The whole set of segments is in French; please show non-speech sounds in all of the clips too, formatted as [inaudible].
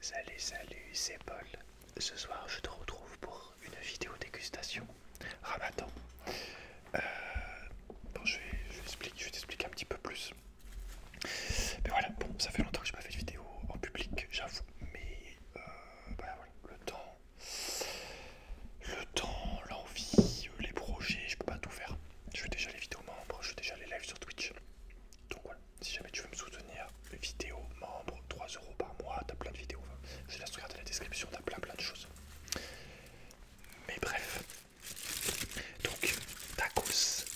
Salut, salut, c'est Paul. Ce soir, je te retrouve pour une vidéo dégustation Ramadan. Euh, je vais, je vais, t'expliquer un petit peu plus. Mais voilà, bon, ça fait longtemps que je n'ai pas fait de vidéo en public, j'avoue. Mais euh, bah, voilà, le temps le temps, l'envie, euh, les projets, je peux pas tout faire. Je fais déjà les vidéos membres, je fais déjà les lives sur Twitch. Donc voilà, si jamais tu veux me soutenir, vidéo membres, 3 euros par mois, t'as plein de vidéos. je te laisse regarder la description, t'as plein plein de choses. Mais bref. Donc, tacos.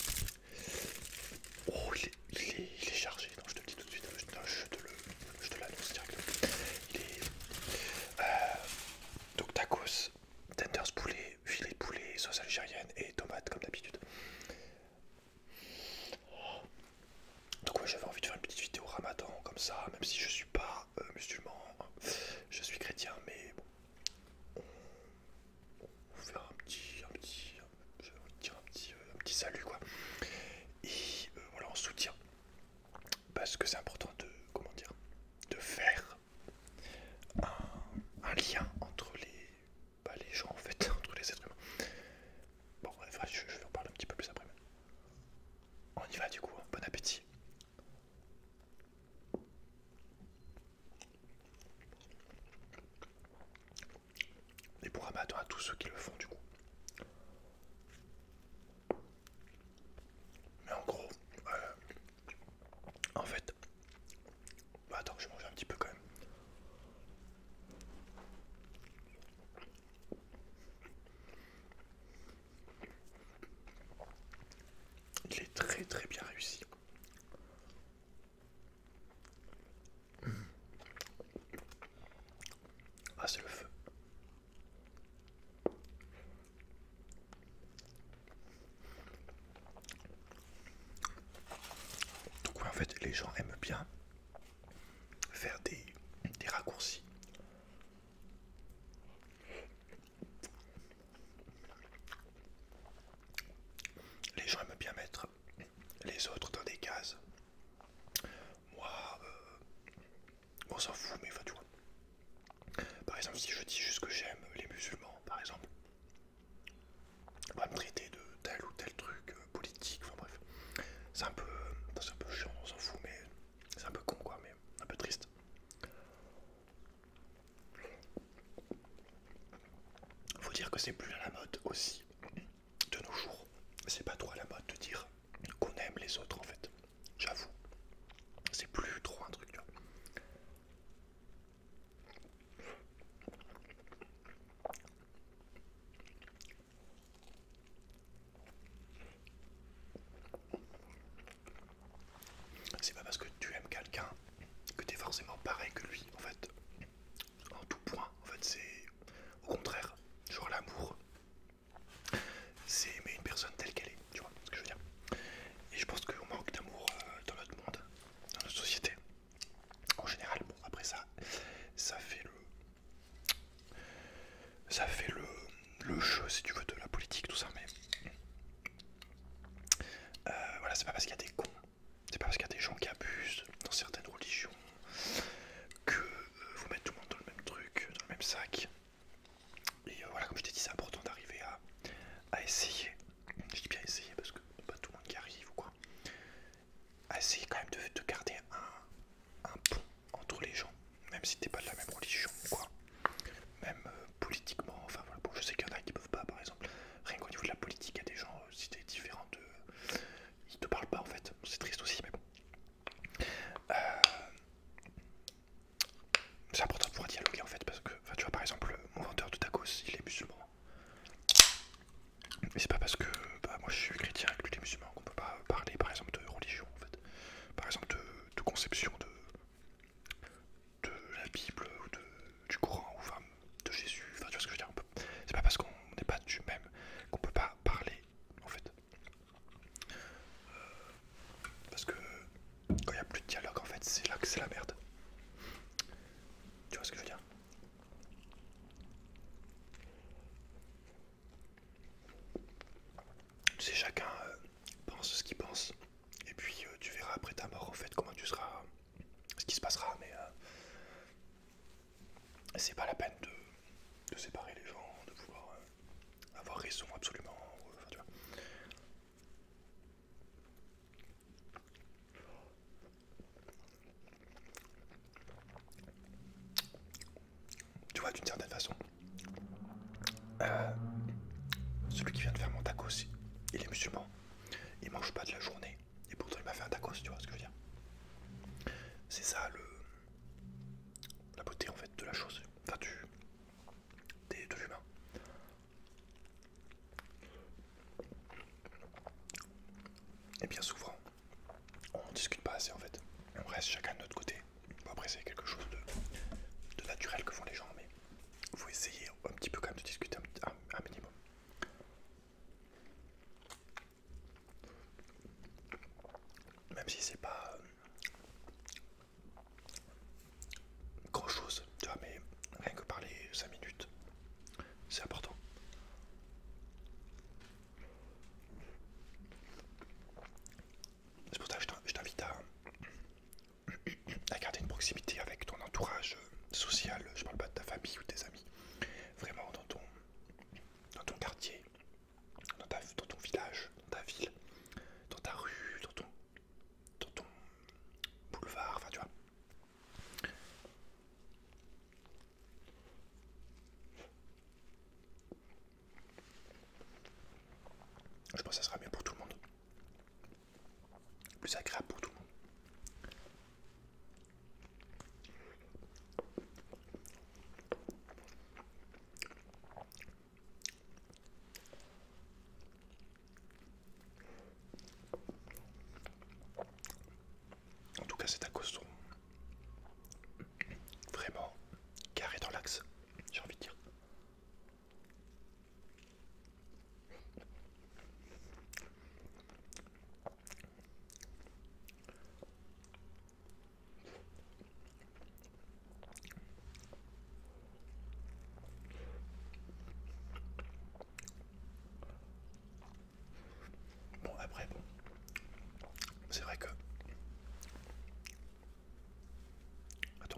Oh, il est, chargé. je te le dis tout de suite. Je, je te l'annonce directement. Il est, euh, donc tacos, tenders poulet, filet de poulet, sauce algérienne et tomate comme d'habitude. Donc ouais j'avais envie de faire une petite vidéo ramadan comme ça, même si je suis pas euh, musulman, je suis chrétien mais bon, on, va fait un petit, petit, salut quoi. Et euh, voilà on soutient parce que c'est important de comment dire de faire un, lien entre les, bah, les gens en fait, [laughs] entre les êtres humains. Bon bref, je, vais en parler un petit peu plus après. On y va du coup, hein. bon appétit. Et pour Ramadan à tous ceux qui le font du coup. Mais en gros, euh, en fait, bah, attends, je mange un petit peu quand même. Il est très très bien réussi. Ah c'est le feu en fait, les gens aiment bien faire des, raccourcis. Les gens aiment bien mettre les autres dans des cases. Moi, euh, on s'en fout, mais enfin tu vois. Par exemple, si je dis juste que j'aime les musulmans, par exemple, on va me traiter de tel ou tel truc euh, politique, enfin bref. C'est un, euh, un peu chiant, on s'en fout, mais c'est un peu con quoi, mais un peu triste. Faut dire que c'est plus à la mode aussi de nos jours. C'est pas trop à la mode de dire qu'on aime les autres en fait. J'avoue. C'est plus trop un truc. C'est pas parce que tu aimes quelqu'un que t'es forcément pareil que lui, en fait. En tout point, en fait, c'est au contraire. Genre l'amour, c'est aimer une personne telle qu'elle est, tu vois ce que je veux dire. Et je pense qu'on manque d'amour euh, dans notre monde, dans notre société. En général, bon, après ça, ça fait le. Ça fait le, le jeu, si tu veux, de la politique, tout ça, mais. Euh, voilà, c'est pas parce qu'il y a des cons, c'est pas parce qu'il y a des gens qui abusent dans certaines religions que euh, vous mettez tout le monde dans le même truc, dans le même sac. Et euh, voilà, comme je t'ai dit, c'est important d'arriver à, essayer. Je dis bien essayer parce que pas tout le monde qui arrive ou quoi. À essayer quand même de, garder un, pont entre les gens, même si t'es pas de la même religion quoi. Même euh, politiquement, enfin voilà, bon, je sais qu'il y en a qui peuvent pas par exemple. Rien qu'au niveau de la politique, il y a des gens, si euh, t'es différent de. Ils te parlent pas en fait, c'est triste aussi, mais bon c'est important de pouvoir dialoguer en fait parce que tu vois par exemple mon vendeur de tacos il est musulman mais c'est pas parce que bah, moi je suis chrétien et que lui est musulman qu'on peut pas parler par exemple de religion en fait par exemple de, conception de, de la Bible ou de, du Coran ou enfin, de Jésus enfin tu vois ce que je veux dire c'est pas parce qu'on n'est pas du même qu'on peut pas parler en fait parce que quand il n'y a plus de dialogue, en fait, c'est là que c'est la merde. Tu vois ce que je veux dire Tu sais, chacun euh, pense ce qu'il pense, et puis euh, tu verras après ta mort, en fait, comment tu seras, ce qui se passera, mais euh, c'est pas la peine de, séparer les gens, de pouvoir avoir raison absolument. Euh, tu vois. d'une certaine façon, euh, celui qui vient de faire mon tacos, il est musulman, il mange pas de la journée, et pourtant il m'a fait un tacos, tu vois ce que je veux dire. C'est ça le, la beauté en fait de la chose, enfin du, des, de l'humain. Et bien souvent, on discute pas assez en fait. On reste chacun de notre côté. après c'est quelque chose de, naturel que font les gens, mais vous essayer un petit peu quand même de discuter un minimum. Même si c'est pas grand chose, tu vois, mais rien que parler 5 minutes, c'est important. C'est pour ça que je t'invite à, [clears throat] à garder une proximité avec ton entourage social, je parle pas de ta famille ou tes amis, vraiment dans ton quartier, dans, ton village, dans ta ville, dans ta rue, dans ton, dans ton boulevard, enfin tu vois. Je pense que ça sera mieux pour tout le monde. Plus agréable pour tout le monde. En tout cas, c'est à costaud vraiment carré dans l'axe, j'ai envie de dire. Bon après bon, c'est vrai que attends,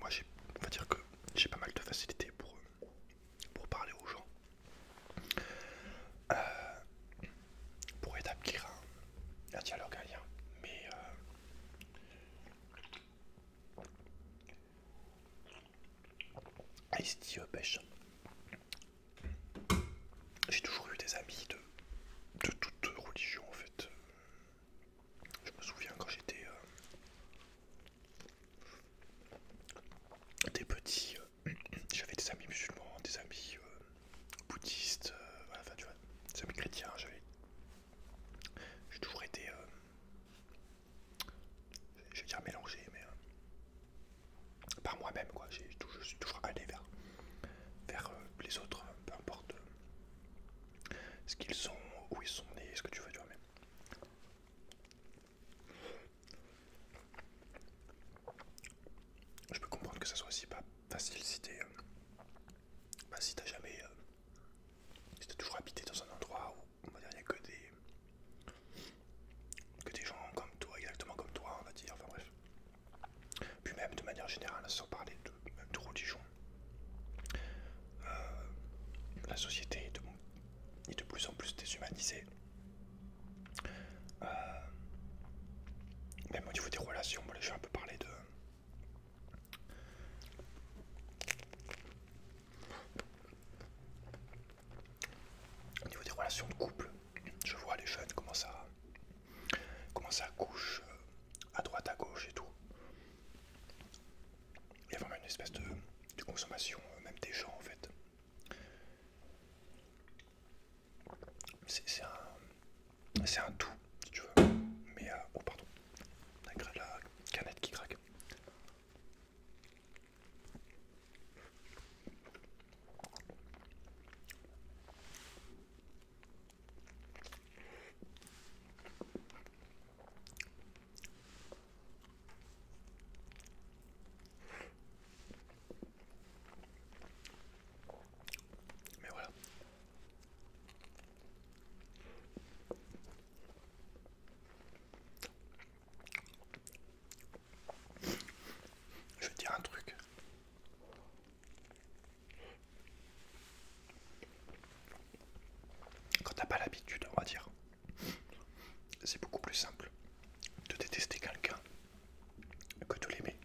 moi j'ai, on va dire que j'ai pas mal de facilité pour pour parler aux gens. Euh, pour établir un, dialogue, un lien. Mais euh, Ice pêche. Euh, J'ai toujours eu des amis de, de toute religion en fait. Je me souviens quand j'étais euh, des petits, euh, j'avais des amis musulmans, des amis euh, bouddhiste, euh, enfin tu vois, chrétien j'ai toujours été, euh, je vais dire mélangé, mais par moi-même quoi, je suis toujours allé vers, les autres, peu importe ce qu'ils sont, où ils sont nés, ce que tu veux, tu vois, mais... Je peux comprendre que ça soit aussi pas facile si euh, bah, si t'as jamais. Euh, si t'as toujours habité dans un endroit où, il n'y a que des. que des gens comme toi, exactement comme toi, on va dire, enfin bref. Puis même de manière générale, sans parler de, même de religion, euh, la société est de plus en plus déshumanisée. Euh, même au niveau des relations, je vais un peu parler de. Au niveau des relations de couple, je vois les jeunes comment ça, comment ça couche euh, à droite, à gauche et tout. Il y a vraiment une espèce de consommation, euh, même des gens en fait. C'est un, un tout, si tu veux. Mais, bon, euh, oh, pardon, la canette qui craque. Mais voilà. Je vais dire un truc. Quand t'as pas l'habitude, on va dire, c'est beaucoup plus simple de détester quelqu'un que de l'aimer,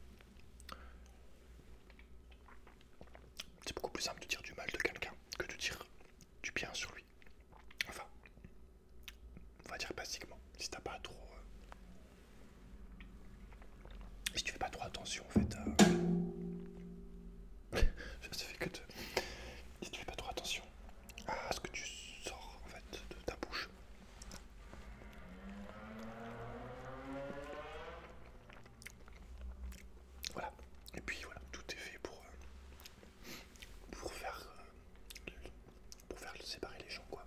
C'est beaucoup plus simple de dire du mal de quelqu'un que de dire du bien sur lui. Enfin, on va dire basiquement, si t'as pas trop. Euh, si tu fais pas trop attention en fait je euh, [laughs] Ça fait que Si tu fais pas trop attention à ce que tu sors en fait de ta bouche, voilà. Et puis voilà, tout est fait pour, euh, pour faire euh, pour faire séparer les gens quoi.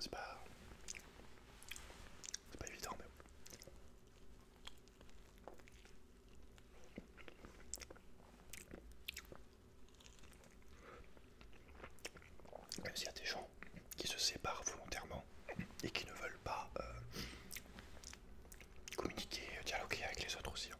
C'est pas c'est pas évident mais même y a des gens qui se séparent volontairement et qui ne veulent pas euh, communiquer, dialoguer avec les autres aussi. Hein.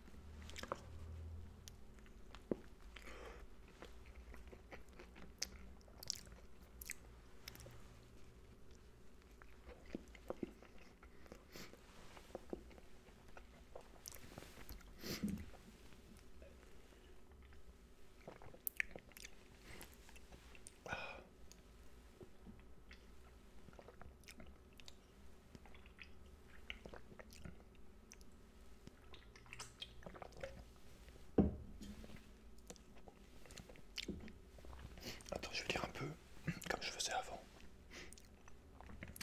Attends, je vais dire un peu comme je faisais avant.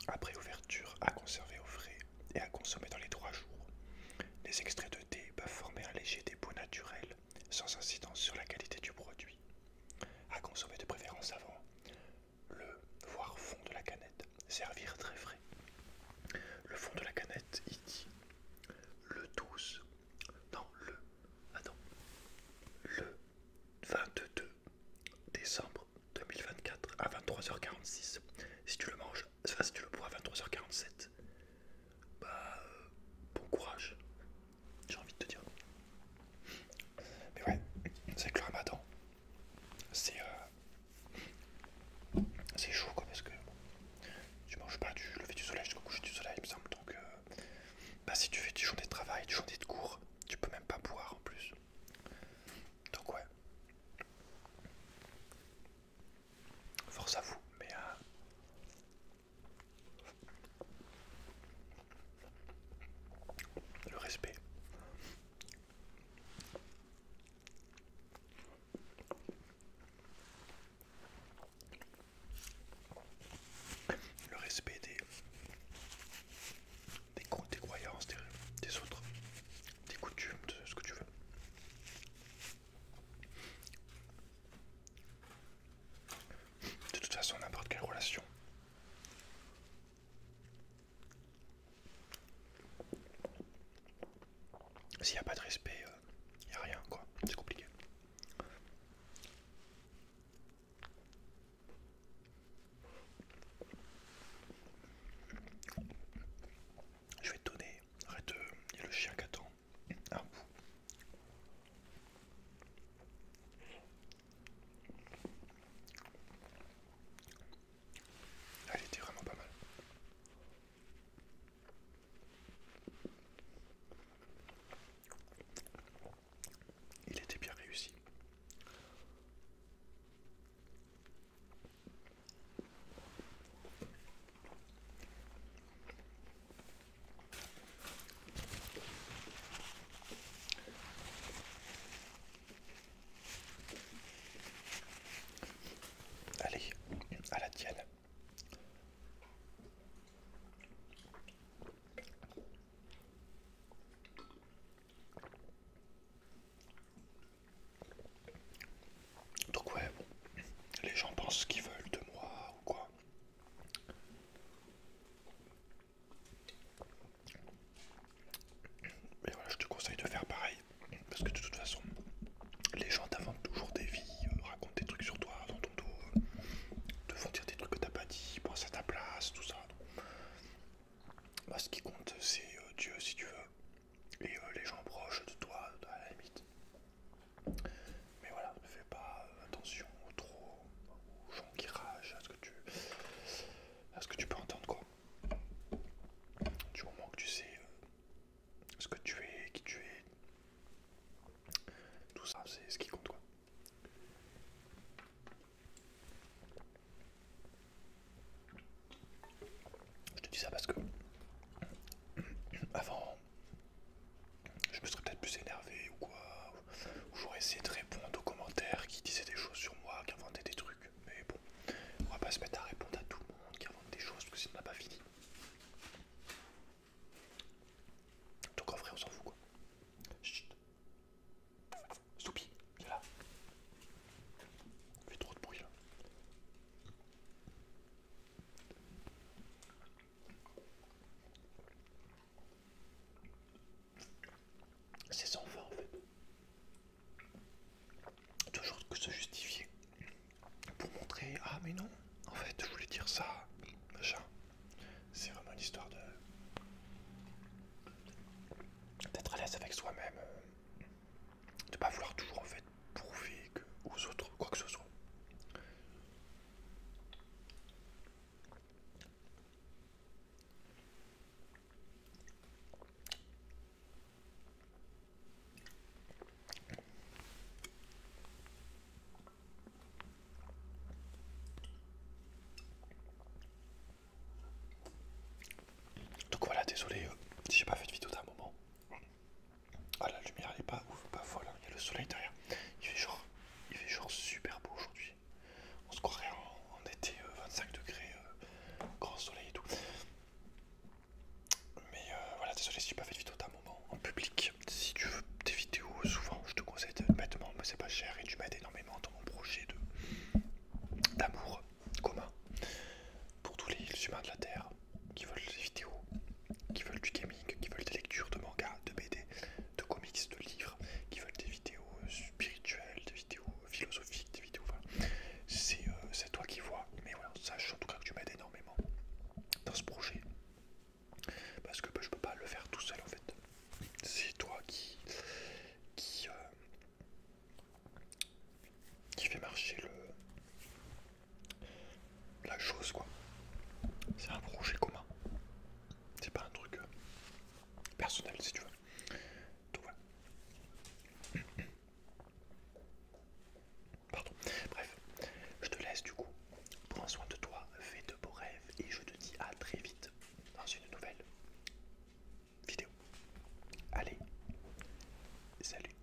Après ouverture, à conserver au frais et à consommer dans les trois jours. Les extraits de thé peuvent former un léger dépôt naturel sans incidence sur la qualité du produit. À consommer de préférence avant le voire fond de la canette, servir très frais. Le fond de la canette, il dit le 12, non le, attends, le 22 décembre 2024 à 23h46. Si tu le manges, enfin, si tu le bois à 23h47, bah euh, bon courage, j'ai envie de te dire. Mais ouais, c'est que le ramadan, c'est euh, c'est chaud quoi parce que tu manges pas du lever du soleil jusqu'au coucher du soleil, il me semble. Donc, euh, bah si tu fais du journées de travail, des journées de cours, tu peux même pas boire en plus. Donc ouais. Force à vous, mais... Euh, le respect. Le respect des des, croyances des, autres, des coutumes, de ce que tu veux. De toute façon, n'importe quelle relation. S'il n'y a pas de respect, il euh, n'y a rien, quoi. C'est compliqué. Je vais donner, arrête, il y a le chien qui attend, un bout. Elle était vraiment pas mal il était bien réussi. Allez, à la tienne. Donc ouais, les gens pensent ce qu'ils veulent de moi ou quoi. Mais voilà, je te conseille de faire pareil, parce que de toute façon, les gens t'inventent toujours des vies, euh, racontent des trucs sur toi, dans ton dos, euh, te font dire des trucs que t'as pas dit, pensent à ta place, tout ça. Bah, ce qui compte, c'est euh, Dieu, si tu veux, et euh, les gens proches de toi, à la limite. Mais voilà, ne fais pas euh, attention trop aux gens qui rage à ce que tu, à ce que tu peux entendre, quoi. Du moment que tu sais ce que tu es, qui tu es, tout ça, c'est ce qui compte, quoi. Je te dis ça parce que avant, je me serais peut-être plus énervé ou quoi, ou j'aurais essayé de répondre aux commentaires qui disaient des choses sur moi, qui inventaient des trucs. Mais bon, on va pas se mettre à répondre à tout le monde qui invente des choses parce que ça ma n'a pas fini. Donc en vrai, on s'en fout quoi tu voilà là. Il fait trop de bruit là. C'est sans fin en fait. Toujours que se justifier. Pour montrer, ah mais non, en fait je voulais dire ça, machin. C'est vraiment une histoire de d'être à l'aise avec soi-même, euh, de pas vouloir toujours en fait prouver que, aux autres quoi que ce soit. Donc voilà, désolé euh, si j'ai pas fait de vidéo d'un moment. Ah la lumière elle est pas ouf, pas folle, hein. il y a le soleil derrière. Il fait genre, il fait super beau aujourd'hui. On se croirait en, été 25 euh, degrés, euh, grand soleil et tout. Mais voilà, désolé si j'ai pas fait de vidéo d'un moment en public. Si tu veux des vidéos, souvent je te conseille de mettre, mais c'est pas cher et tu m'aides énormément dans mon projet d'amour commun pour tous les humains de la Terre qui veulent des vidéos, qui veulent du gaming, qui veulent des lectures de mangas, de BD, de comics, de livres, qui veulent des vidéos euh, spirituelles, des vidéos philosophiques, des vidéos. Euh, c'est toi qui vois, mais voilà, sache en tout cas que tu m'aides énormément dans ce projet parce que bah, je peux pas le faire tout seul en fait c'est toi qui qui, euh, qui fait marcher le la chose quoi. C'est un projet commun. C'est pas un truc euh, personnel si tu veux. Donc voilà. [coughs] Pardon. Bref, je te laisse du coup. Prends soin de toi, fais de beaux rêves et je te dis à très vite dans une nouvelle vidéo. Allez, salut